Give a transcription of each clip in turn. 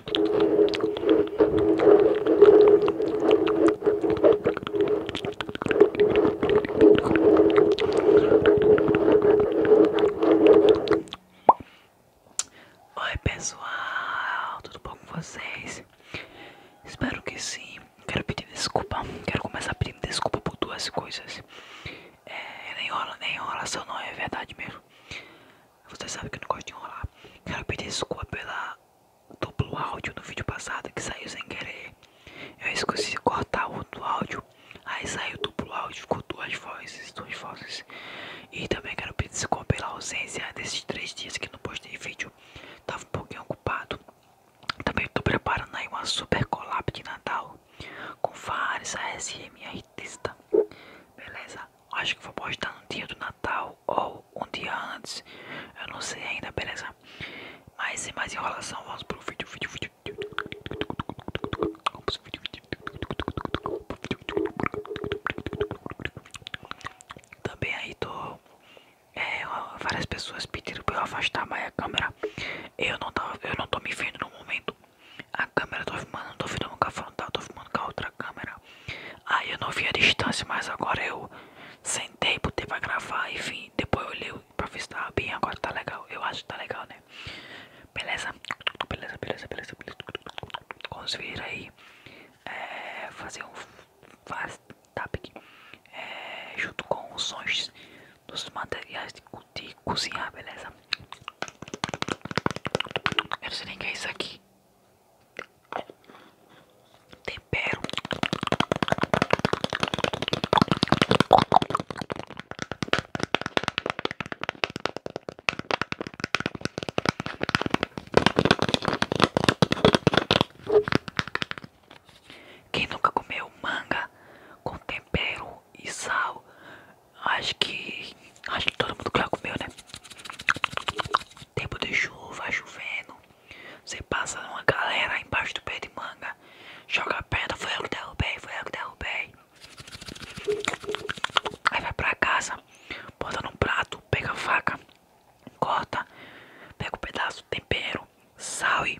Oi pessoal, tudo bom com vocês? Espero que sim. Quero pedir desculpa. Quero começar pedindo desculpa por duas coisas. É, nem enrola, nem enrolação não, é verdade mesmo. Você sabe que eu não gosto de enrolar. Quero pedir desculpa pela duplo áudio no vídeo passado que saiu sem querer. Eu esqueci de cortar outro áudio. Aí saiu duplo áudio, ficou duas vozes, duas vozes. E também quero pedir desculpa pela ausência desses três dias que não postei vídeo. Tava um pouquinho ocupado. Também tô preparando aí uma super colapso de Natal com vários ASM artistas. Tá? Beleza? Acho que vou postar no dia do Natal ou um dia antes. Eu não sei ainda, beleza? Mas sem mais enrolação, vamos pro vídeo, vídeo, vídeo. Vamos pro vídeo, vídeo. Também aí tô. É, várias pessoas pediram pra eu afastar mais a câmera. Eu não, tava, eu não tô me vendo no momento. A câmera eu tô filmando, não tô filmando com a frontal, tá? tô filmando com a outra câmera. Aí eu não vi a distância, mas agora eu sentei, botei pra gravar, enfim. Depois eu olhei pra ver se tava bem, agora tá legal. Eu acho que tá legal, né? Beleza? Beleza, beleza, beleza, vamos Conseguir aí é, fazer um faz tapping é, junto com os sons dos materiais de cozinhar, beleza? Eu nem sei nem o que é isso aqui. Tempero. Quem nunca comeu manga com tempero e sal Acho que. Acho que todo mundo já comeu, né? Tempo de chuva, chovendo. Você passa uma galera embaixo do pé de manga. Joga a perna foi eu que derrubei, foi eu que derrubei. Aí vai pra casa, bota num prato, pega a faca, corta, pega um pedaço, tempero, sal e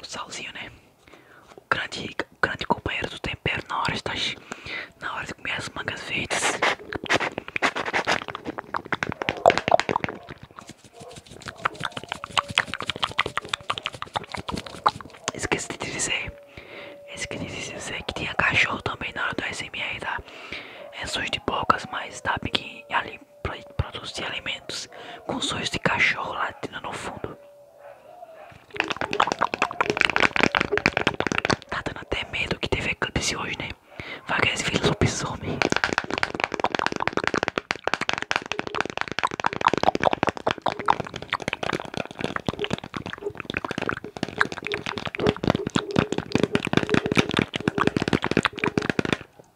O salzinho, né? O grande, o grande companheiro do tempero na hora, de, tá na hora de comer as mangas verdes. Esqueci de dizer, esqueci de dizer que tinha cachorro também na hora do SMR, tá? É sujo de bocas, mas tá bem ali vai produzir alimentos com sons de cachorro latindo no fundo. Tá dando até medo que teve eclipse hoje, né? Vai que eles viram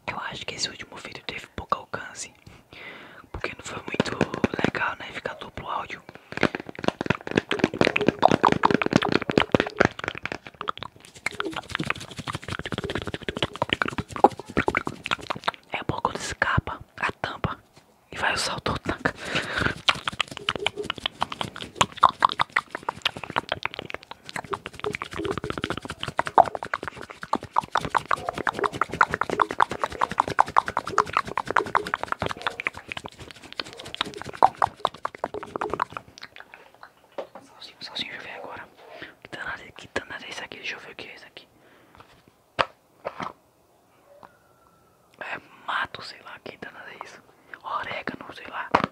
eu acho que esse último vídeo teve pouco alcance, porque não foi muito legal, né? Ficar duplo áudio. É bom quando escapa a tampa e vai o sol todo Salsinho, salsinho, deixa eu ver agora. Que danada, que danada é isso aqui? Deixa eu ver o que é isso aqui. É mato, sei lá, que danada é isso? Orégano, sei lá.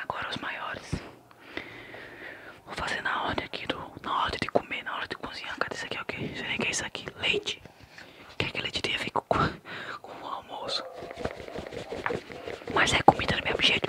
Agora os maiores. Vou fazer na ordem aqui do. Na hora de comer, na hora de cozinhar. Cadê isso aqui? É o que? Sei nem que é isso aqui. Leite gente. Que é aquele dia fica com, com o almoço. Mas é comida do mesmo jeito.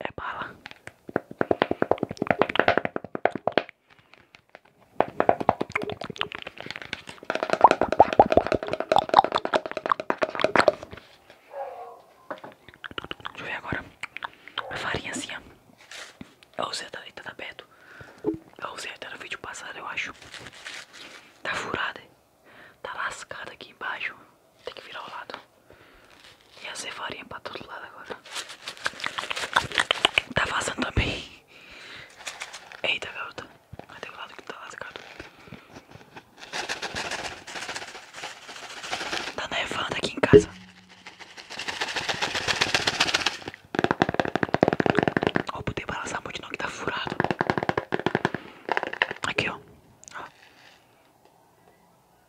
é bala. Deixa eu ver agora. A farinha assim, ó. A roseta ali tá aberto. A roseta era no vídeo passado, eu acho. Tá furada. Tá lascada aqui embaixo. Tem que virar ao lado. E a cefarinha pra todo lado agora. Tá vazando também. Eita, garota. Cadê o lado que tá lascado? Tá nevando aqui em casa. Ó, oh, poder balançar muito não que tá furado. Aqui, ó. ó.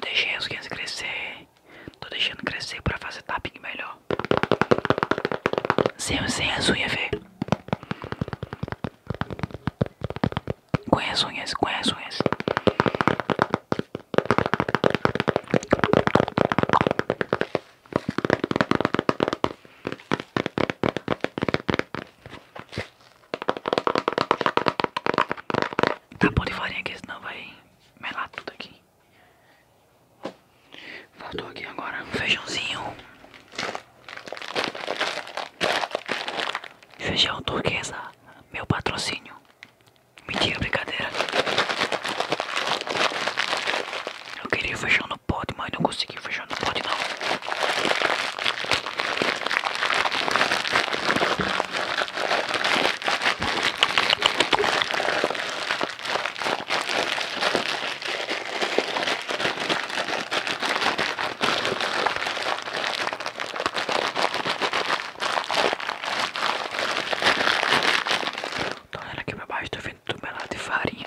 Deixei as unhas crescer. Tô deixando crescer pra fazer tapping melhor. Sem, sem as unhas, vê. Com as unhas, com as unhas tá bom pão de farinha aqui, senão vai melar tudo aqui. Faltou aqui agora um feijãozinho. Feijão turquesa, meu patrocínio. Mentira, brincadeira. Eu queria feijão não, pode, mãe. Não consegui fechar. Não pode, não. Tô olhando aqui pra baixo, tô vendo tudo melado de farinha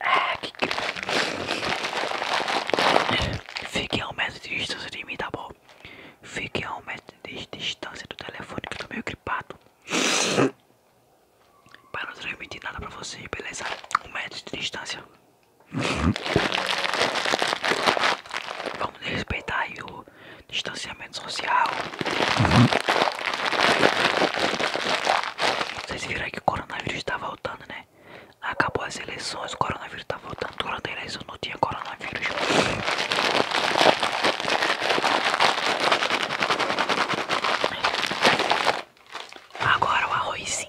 É, que grande. Fique a um metro de distância de mim, tá bom? Fique a um metro de distância do telefone que eu tô meio gripado. Para não transmitir nada pra você, beleza? Um metro de distância. Vamos respeitar aí o distanciamento social. Vocês viram que o coronavírus tá voltando, né? Acabou as eleições, o coronavírus tá voltando. Durante a eleição não tinha coronavírus. Agora o arrozinho.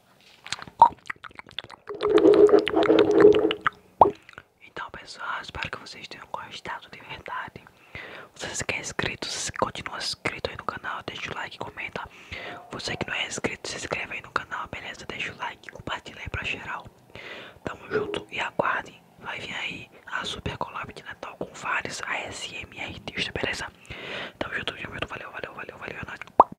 Então pessoal, espero que vocês tenham gostado de verdade Você que é inscrito, se continua inscrito aí no canal, deixa o like, comenta Você que não é inscrito, se inscreve aí no canal, beleza? Deixa o like, compartilha aí pra geral Tamo junto e aguardem Vai vir aí a super collab de Natal com vários ASMR artistas, beleza? Tamo junto, tamo junto, valeu, valeu, valeu, valeu, é